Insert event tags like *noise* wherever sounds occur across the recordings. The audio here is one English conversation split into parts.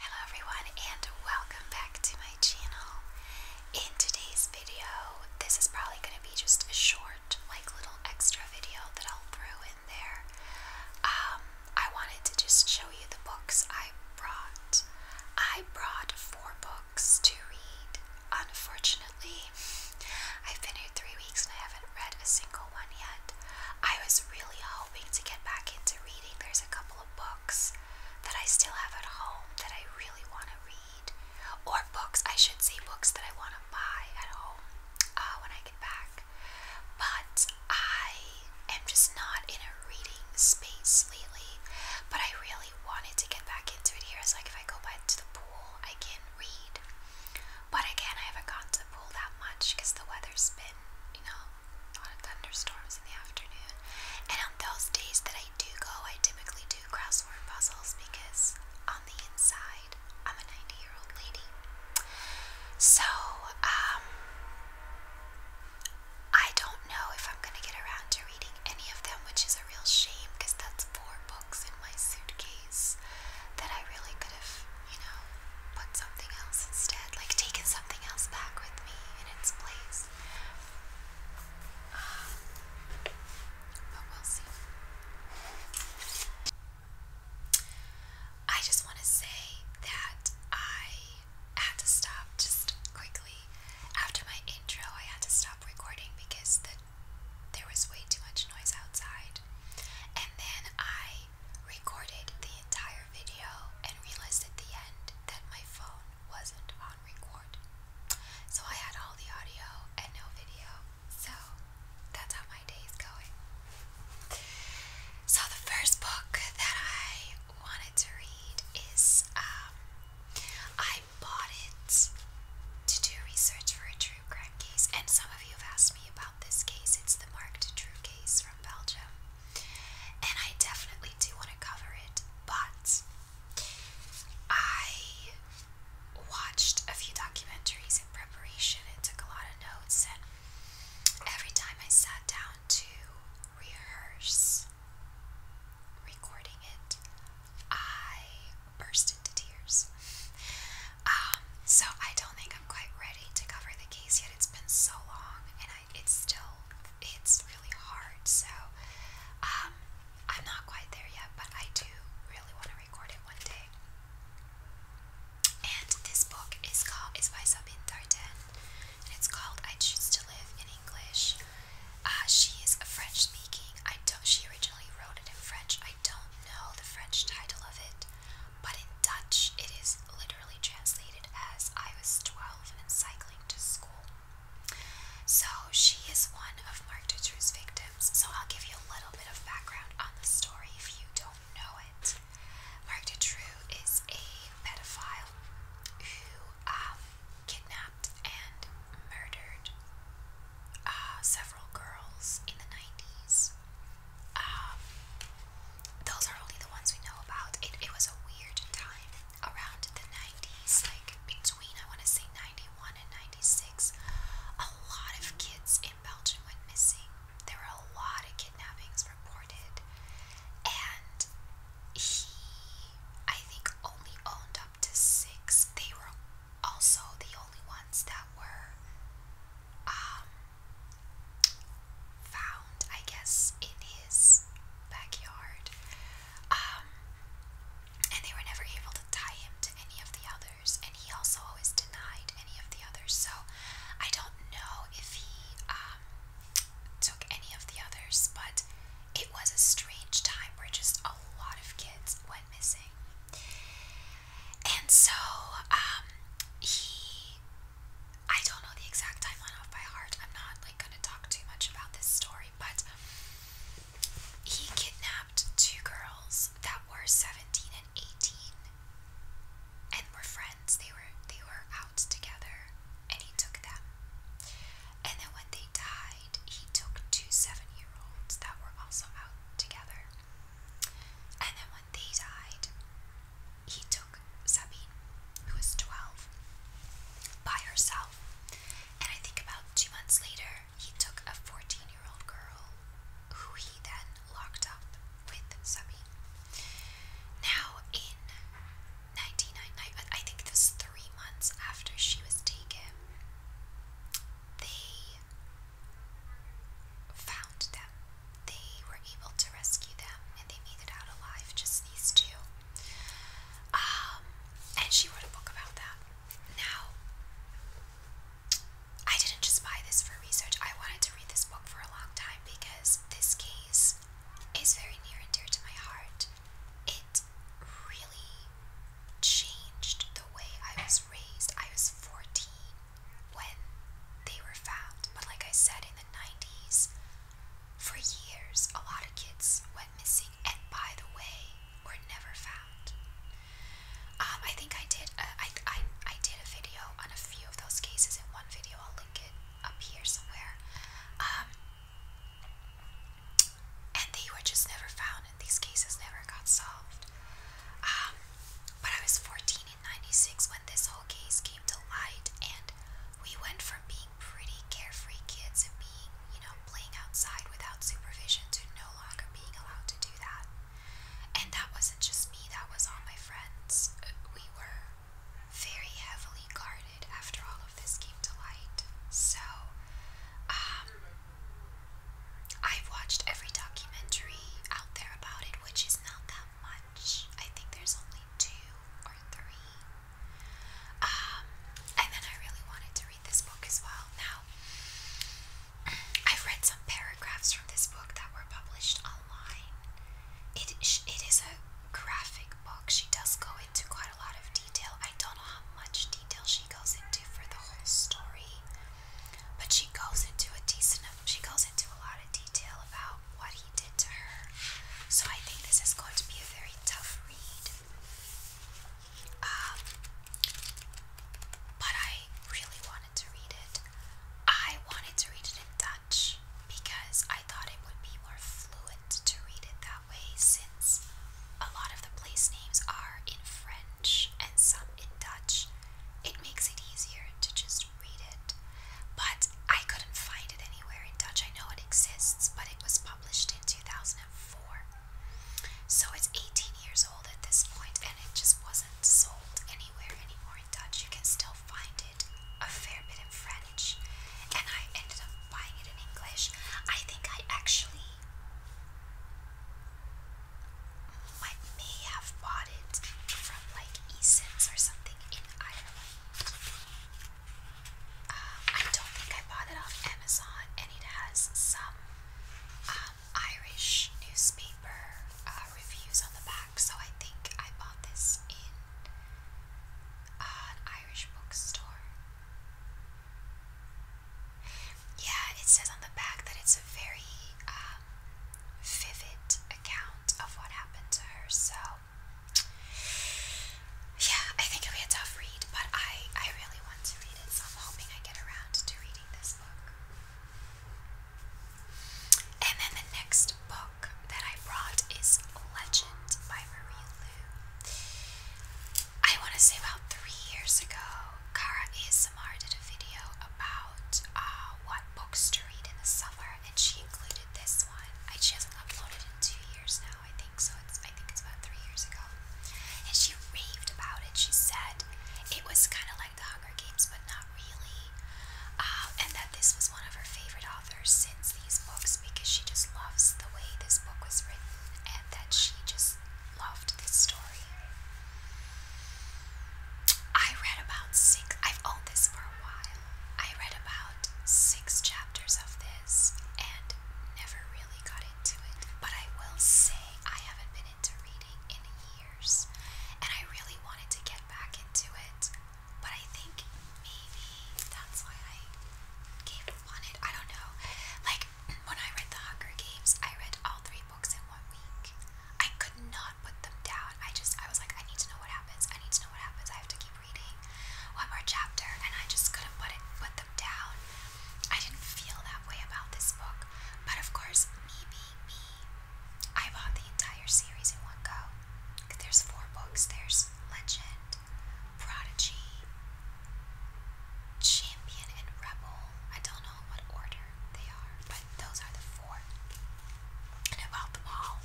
Hello everyone and welcome back to my channel. In today's video, this is probably going to be just a short, like little extra video that I'll throw in there. Um, I wanted to just show you the books I brought. I brought four books to read. Unfortunately, I've been here three weeks and I haven't read a single one yet. I was really hoping to get back into reading. There's a couple couple of books that I still have at home that I really want to read, or books, I should say, books that I want to buy at home uh, when I get back. But I am just not in a reading space lately, but I really wanted to get back into it here. It's like if I go back to the pool, I can read. But again, I haven't gone to the pool that much because the weather's been, you know, a lot of thunderstorms in the afternoon. And on those days that I do go, I typically do crossword puzzles because on the inside, I'm a 90 year old lady. So, um, I don't know if I'm going to get around to reading any of them, which is a real shame because that's four books in my suitcase that I really could have, you know, put something else instead like taking something else back with me in its place. Um, but we'll see. I just want to say that I had to stop just quickly after my intro. I had to stop recording because the, there was way too much noise outside, and then I recorded the entire video and realized at the end that my phone wasn't on record. So I had all the audio and no video. So that's how my day is So the first book that I wanted to read is um I bought it to do research for a true crime case and some of you have asked me about this case. It's the Marked True case from Belgium and I definitely do want to cover it, but I watched a few documentaries in preparation and took a lot of notes, and every time I sat down to rehearse recording it, I burst into tears. Um, so I don't think I'm quite ready to cover the case yet. It's been so long, it's still it's really hard. So um, I'm not quite there yet, but I do really want to record it one day. And this book is called It's by Sabine Darden, and it's called "I Choose to Live in English." Ah, she is French-speaking. I don't. She originally wrote it in French. I don't know the French title of it, but in Dutch, it is literally literally translated as I was 12 and cycling to school. So she is one of Mark Ditcher's victims. So I'll give you a little bit of background on the story if you don't know it. Mark Ditcher is a pedophile who um, kidnapped and murdered uh, several girls in the 90s those are only the ones we know about. It, it was a weird time around the 90s, like between I want to say 91 and 96. A lot of kids in Belgium went missing. There were a lot of kidnappings reported, and he, I think, only owned up to six. They were also the only ones that were um, found, I guess, in his backyard. Um, and they were never able to tie him to any of the others, and he also always denied any of the others. So I don't know if he um, took any of the others, but it was a strange time where just a lot of kids went missing. And so um, he I don't know the exact timeline off by heart. I'm not like gonna talk too much about this story, but he kidnapped two girls that were 17 and 18 and were friends. They were they were out together and he took them. And then when they died, he took two 7-year-olds that were also out together. And then when they died, he took Sabine, who was 12, by herself. And I think about two months later, he took a 14 year old girl who he then locked up with Sabine. Now, in 1999, I think it was three months after she was taken, they found them. They were able to rescue them and they made it out alive, just these two. Um, and she wrote a book about that. Now, I didn't just buy this for research. I wanted to read this book for a long time because this case is very near and dear to my heart. It really changed the way I was raised. I was 14 when they were found, but like I said, in the 90s, for years, a lot of kids went missing and by the way were never found. Um, I think I did. Uh, I, I I did a video on a few of those cases in one video. I'll link it up here somewhere. Um, and they were just never found, and these cases never got solved. Um, but I was 14 in '96 when this whole case came to light, and we went from being pretty carefree kids and being, you know, playing outside without supervision to no longer being allowed to do that. And that wasn't just me, that was all my friends. We were very heavily guarded after all of this came to light. So, um, I've watched every documentary out there about it, which is not that much. I think there's only two or three um, and then I really wanted to read this book as well. Now, I've read some paragraphs from this book that were published online. It it is a graphic book. She does go into quite a lot of detail. I don't know how much detail she goes into for the whole story, but she goes into a decent. She goes into a lot of detail about what he did to her. So I think this is going to be a very tough read. Um, but I really wanted to read it. I wanted to read it in Dutch because I thought it would be more fluent to read it that way since a lot of the place names are in French and some in Dutch. It makes it easier to just read it but I couldn't find it anywhere in Dutch. I know it exists, but it was published in 2004. So it's 18 years old at this point, and it just wasn't sold anywhere anymore in Dutch. You can still find it a fair bit in French, and I ended up buying it in English. I think I actually might may have bought it from like Easons or something in Ireland. Um, I don't think I bought it off Amazon, and it has some um, Irish newspaper uh, reviews on the back. So I think I bought this in uh, an Irish bookstore. Yeah, it says on the back that it's a very um, vivid account of what happened to her. So yeah, I think it'll be a tough read, but I, I really want to read it, so I'm hoping I get around to reading this book. And then the next book that I brought is Legend by Marie Lou. I want to say about three years ago, Kara ASMR did a video about uh, what books to read in the summer, and she included this one. I, she hasn't uploaded in two years now. Oh, I think. So it's I think it's about three years ago. And she raved about it. She said it was kinda like the Hunger Games, but not really. Uh, and that this was one of her favorite authors since these books because she just loves the way this book was written and that she just loved this story. I read about six, I've owned this for a while, I read about six chapters of this and never really got into it. But I will say I haven't been into reading in years and I really wanted to get back into it. But I think maybe that's why I gave up on it. I don't know. Like when I read The Hunger Games, I read all three books in one week. I could not put them down. I just I was like, I need to know what happens. I need to know what happens. I have to keep reading one more chapter, and I just couldn't put it put them down. I didn't feel that way about this book, but of course, me being me, I bought the entire series in one go. There's four books. There's Legend, Prodigy, Champion, and Rebel. I don't know what order they are, but those are the four. And I bought them all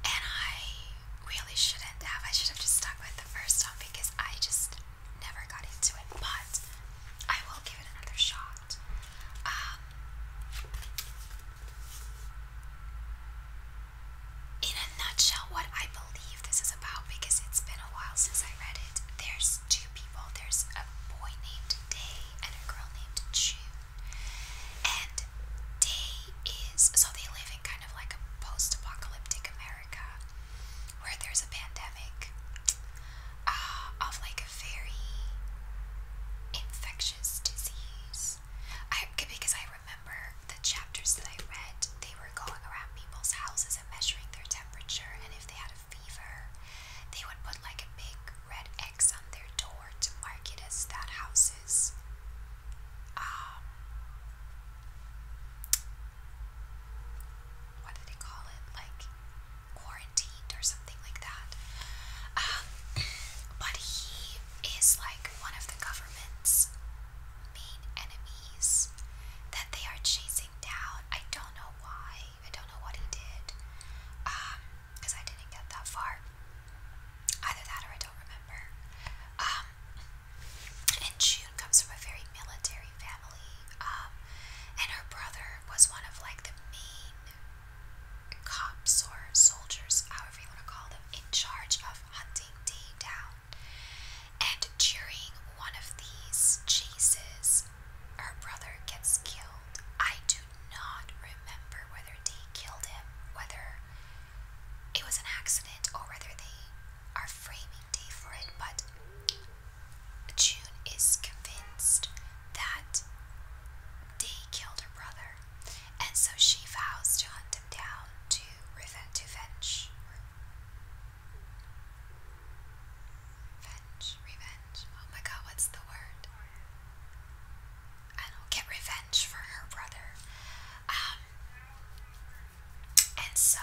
and I really shouldn't have. I should have just stuck with the first one because I just never got into it. But I will give it another shot. Um, in a nutshell, what I believe this is about because it's been a while since I read it. There's two people. There's a boy named Day and a girl named June, and day is so they live in kind of like a post-apocalyptic America where there's a pandemic uh, of like a very infectious disease. I because I remember the chapters that I read, they were going around people's houses and measuring their temperature, and if they had a fever, they would put like a big red X on their door to mark it as that house is. Um, what do they call it? Like quarantined or something like that. Um, *clears throat* but he is like one of the government's main enemies that they are chasing down. I don't know why. I don't know what he did. because um, I didn't get that far. Either that or I don't remember. Um, and June comes from a very military family, um, and her brother was one of like the main cops or soldiers, however you want to call them, in charge of hunting Dave down. And during one of these chases, her brother gets killed. I do not remember whether D killed him, whether it was an accident, or rather, they are framing day for it. But June is convinced that they killed her brother, and so she vows to hunt him down to revenge. To venge, Revenge, revenge. Oh my god, what's the word? I don't get revenge for her brother. Um, and so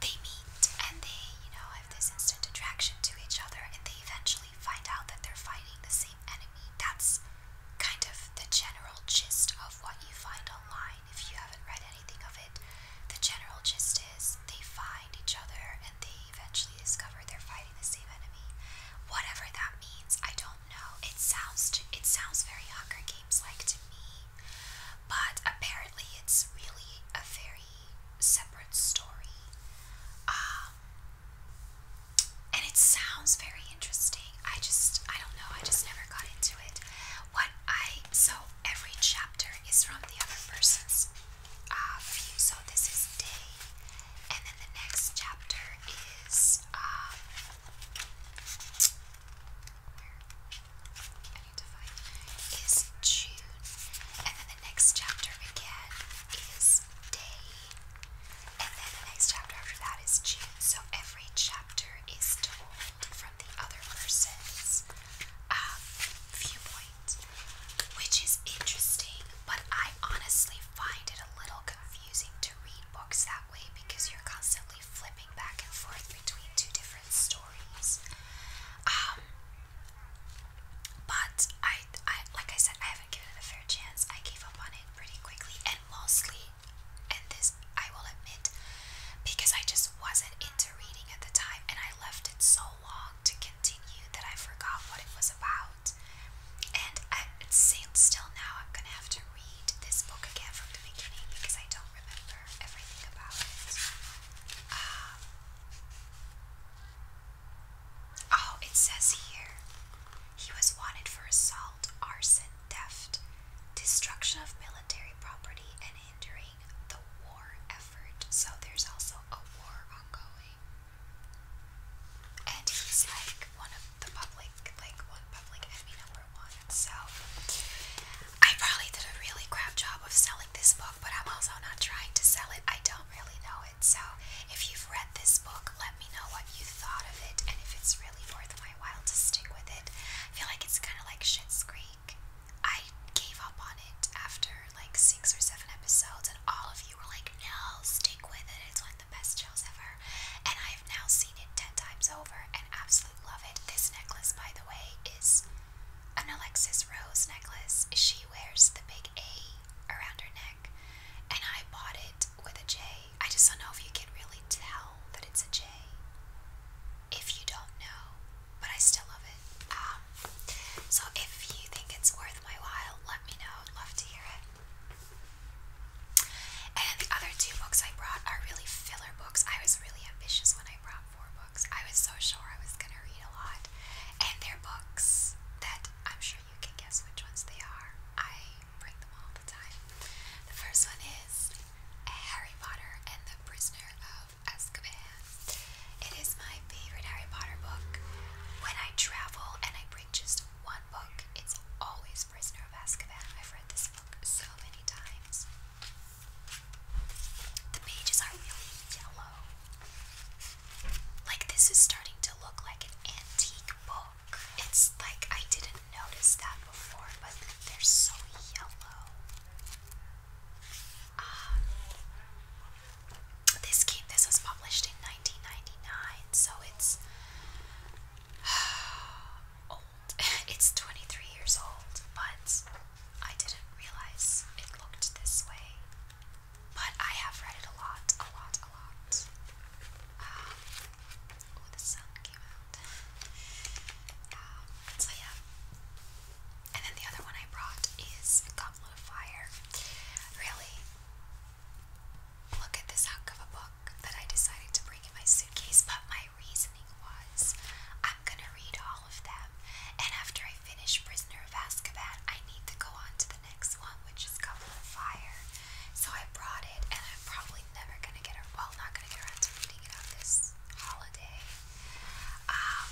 they meet and they, you know, have this instant attraction to each other and they eventually find out that they're fighting the same enemy. That's kind of the general gist of what you find online if you haven't read anything of it. The general gist is they find each other and they eventually discover they're fighting the same enemy. Whatever that means, I don't know. It sounds it sounds very Hunger seems like to me. But apparently, it's really a very separate story. Um, and it sounds very interesting. I just, I don't know, I just never got into it. What I, so every chapter is from the other person's uh, view. So this is day, and then the next chapter is um, is June, and then the next chapter again is day, and then the next chapter after that is June. So every chapter is told from the other person's um, viewpoint, which is interesting, but I honestly find it a little confusing to read books that way because you're constantly flipping back and forth between two different stories. Um, but I, I, like I said, I haven't given it a fair chance. I gave up on it pretty quickly, and mostly, and this I will admit, because I just wasn't into reading at the time, and I left it so long to continue that I forgot what it was about. And I, still now, I'm gonna have to read this book again from the beginning because I don't remember everything about it. Um, oh, it says here he was wanted for assault, arson, theft, destruction of military property, and hindering the war effort. So there's also a war ongoing. And he's like one of the public, like one public enemy number so I probably did a really crap job of selling this book, but I'm also not trying to sell it. I don't really know it. So if you've read this book, let me know what you thought of it and if it's really worth my while to stick with it. I feel like it's kind of like shit's Creek. I gave up on it after like six or seven episodes, and all of you were like, "No, stick with it. It's one of the best shows ever." And I've now seen. 10 times over and absolutely love it. This necklace, by the way, is an Alexis Rose necklace. She wears the big A around her neck, and I bought it with a J. I just don't know if you can really tell that it's a J if you don't know, but I still love it. Um, so if you think it's worth my while, let me know. love to hear it. And the other two books I brought are really filler books. I was really ambitious when I brought four books. I was so sure I was going to read a lot. And they're books that I'm sure you can guess which ones they are. I bring them all the time. The first one is Harry Potter and the Prisoner of Azkaban. It is my favorite Harry Potter book. When I travel and I bring just one book, it's always Prisoner of Azkaban. I've read this book so many times. The pages are really yellow. Like, this is starting to look like an antique book. It's like I didn't notice that before, but they're so yellow. Um, this game, this was published in 1999, so it's *sighs* old. *laughs* it's 23 years old, but I didn't realize it looked this way. But I have read it a lot, a lot, a lot. Um, oh, the sun came out. Um, so yeah. And then the other one I brought is Goblet of Fire. Really, look at this hunk of a book that I decided to bring in my suitcase, but my my reasoning was I'm gonna read all of them, and after I finish Prisoner of Azkaban, I need to go on to the next one, which is Goblet of Fire. So I brought it, and I'm probably never gonna get around, well, not gonna get around to reading it on this holiday. Um,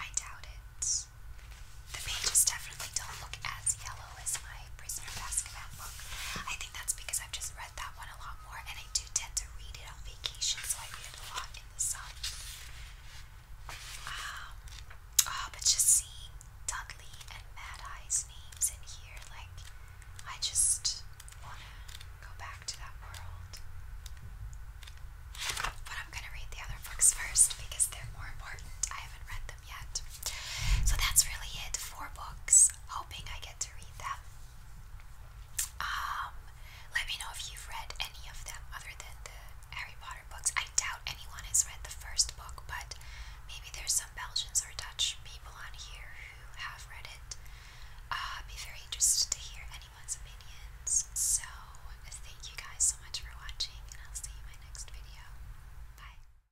I doubt it. The pages definitely don't look as yellow as my my Prisoner Baskerville book. I think that's because I've just read that one a lot more, and I do tend to read it on vacation, so I read it a lot in the sun. Um, oh, but just seeing Dudley and Mad Eye's names in here, like, I just want to go back to that world. But I'm gonna read the other books first because they're more important. I haven't read yet. So that's really it. Four books. Hoping I get to read them. Um, let me know if you've read any of them other than the Harry Potter books. I doubt anyone has read the first book, but maybe there's some Belgians or Dutch people on here who have read it. I'd uh, be very interested to hear anyone's opinions. So thank you guys so much for watching, and I'll see you in my next video. Bye.